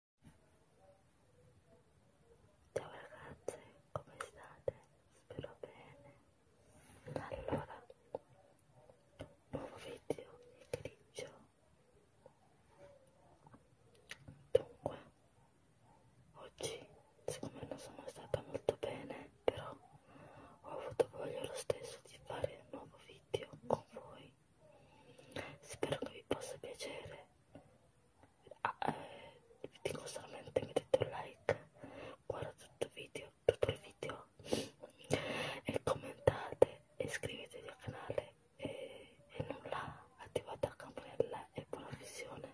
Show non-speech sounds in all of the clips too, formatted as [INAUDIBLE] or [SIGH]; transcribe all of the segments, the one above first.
Ciao ragazze, come state? Spero bene. Allora, nuovo video di grigio. Dunque, oggi siccome non sono stata molto bene, però ho avuto voglia lo stesso di fare un nuovo video con voi spero che vi possa piacere ah, eh, vi dico solamente mettete un like guarda tutto il video tutto il video e commentate e iscrivetevi al canale e, e nulla attivate la campanella e buona visione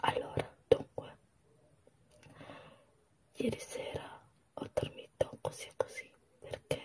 allora dunque ieri sera ho dormito così e così perché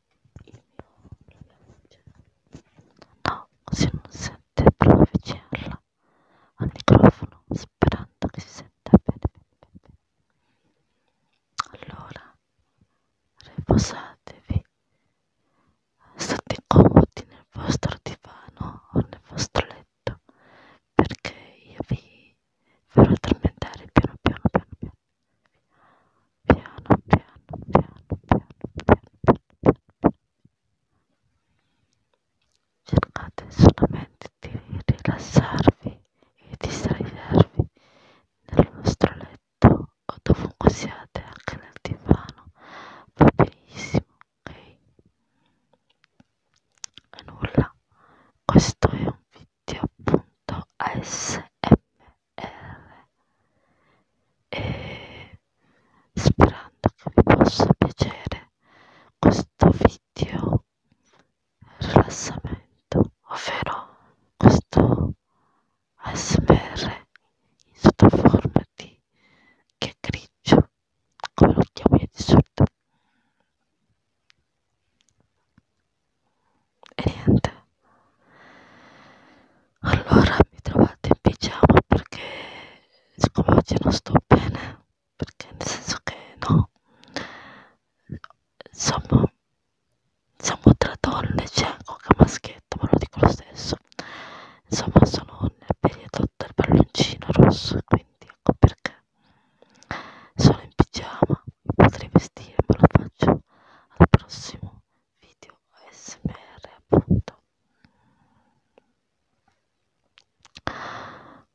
il mio claviaggio no si non sente prova avvicinarla al microfono sperando che si senta bene, bene, bene. allora riposatevi state comodi nel vostro divano o nel vostro letto perché io vi farò addormentare piano piano piano piano piano piano piano piano piano piano cercate solamente di rilassarvi e distraivervi nel vostro letto o dovunque siate anche nel divano va benissimo ok e nulla questo è un video sito.asmr e sperando che vi possa piacere questo video rilassamento ovvero questo ASMR in sottoforma di che grigio come lo chiamo io di solito e niente allora mi trovate in pigiama perché siccome oggi non sto bene perché nel senso che no insomma siamo tra donne c'è anche un maschietto ma lo dico lo stesso insomma sono nel periodo del palloncino rosso quindi ecco perché sono in pigiama potrei vestirmi lo faccio al prossimo video smr appunto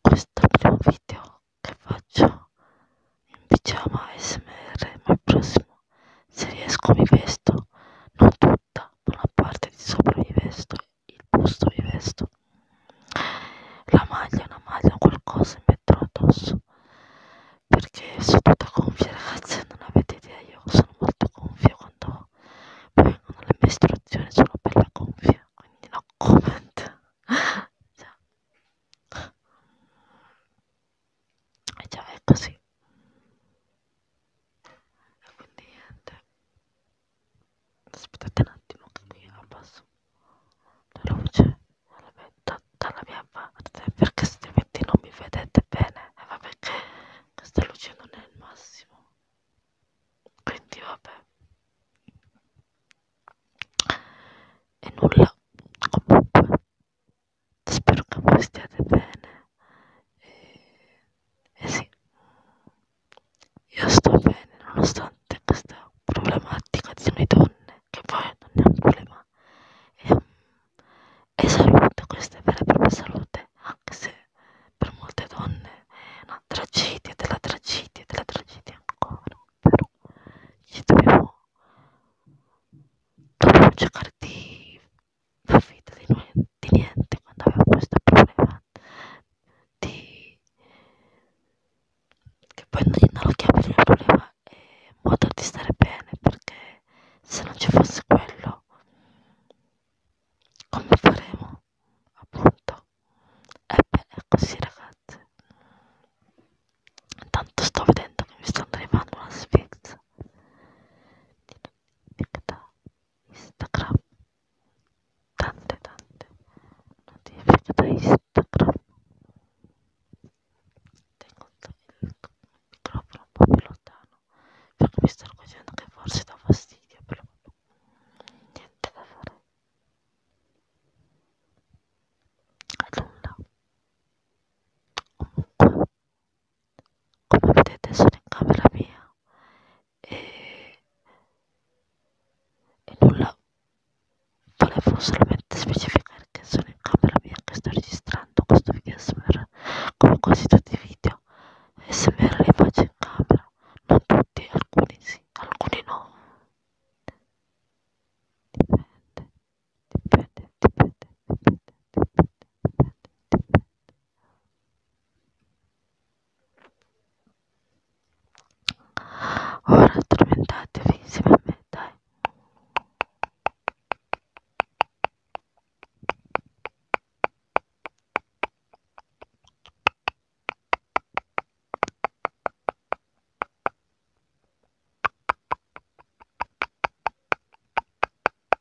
questo è il primo video che faccio in pigiama smr ma il prossimo se riesco mi vesto non tutta ma la parte di sopra mi vesto il busto mi vesto la maglia una maglia qualcosa mi metterò addosso perché sono tutta gonfia ragazzi non avete idea io sono molto gonfia quando vengono le mestruazioni sono bella gonfia quindi no comment [LAUGHS] già. e già è così e quindi niente aspettate un attimo che abbasso la luce dalla, dalla mia parte perché altrimenti non mi vedete bene e eh, vabbè che questa luce non è il massimo quindi vabbè e nulla comunque spero che voi stiate bene e, e sì io sto bene nonostante questa problematica di noi donne, che poi non è un problema, è, un, è salute, questa è vera e propria salute, anche se per molte donne è una tragedia della tragedia della tragedia ancora, però ci dobbiamo, dobbiamo cercare di far finta di, di niente quando abbiamo questo problema di... che poi non lo chiami il problema è un modo di stare bene perché se non ci fosse quello come faremo appunto e beh è così ragazze intanto sto vedendo che mi stanno arrivando una sfizza Instagram tante tante notifiche da Instagram tengo il microfono un po' più lontano perché mi sto accorgendo che forse dà fastidio però niente da fare nulla comunque come vedete sono in camera mia e, e nulla volevo solamente specificare che sono in camera mia che sto registrando questo video smr come quasi tutti i video smr li faccio in camera non tutti alcuni sì alcuni no dipende dipende dipende dipende dipende dipende dipende Ora addormentatevi insieme a me, dai.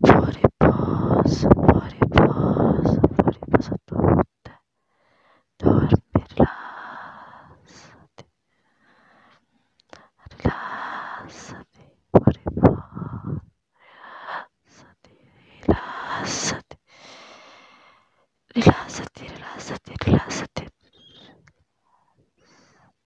fuori riposo, fuori riposo, fuori riposo a tutte, dormi, rilassati, rilassati, fuori riposo, rilassati, rilassati, rilassati, rilassati, rilassati. rilassati.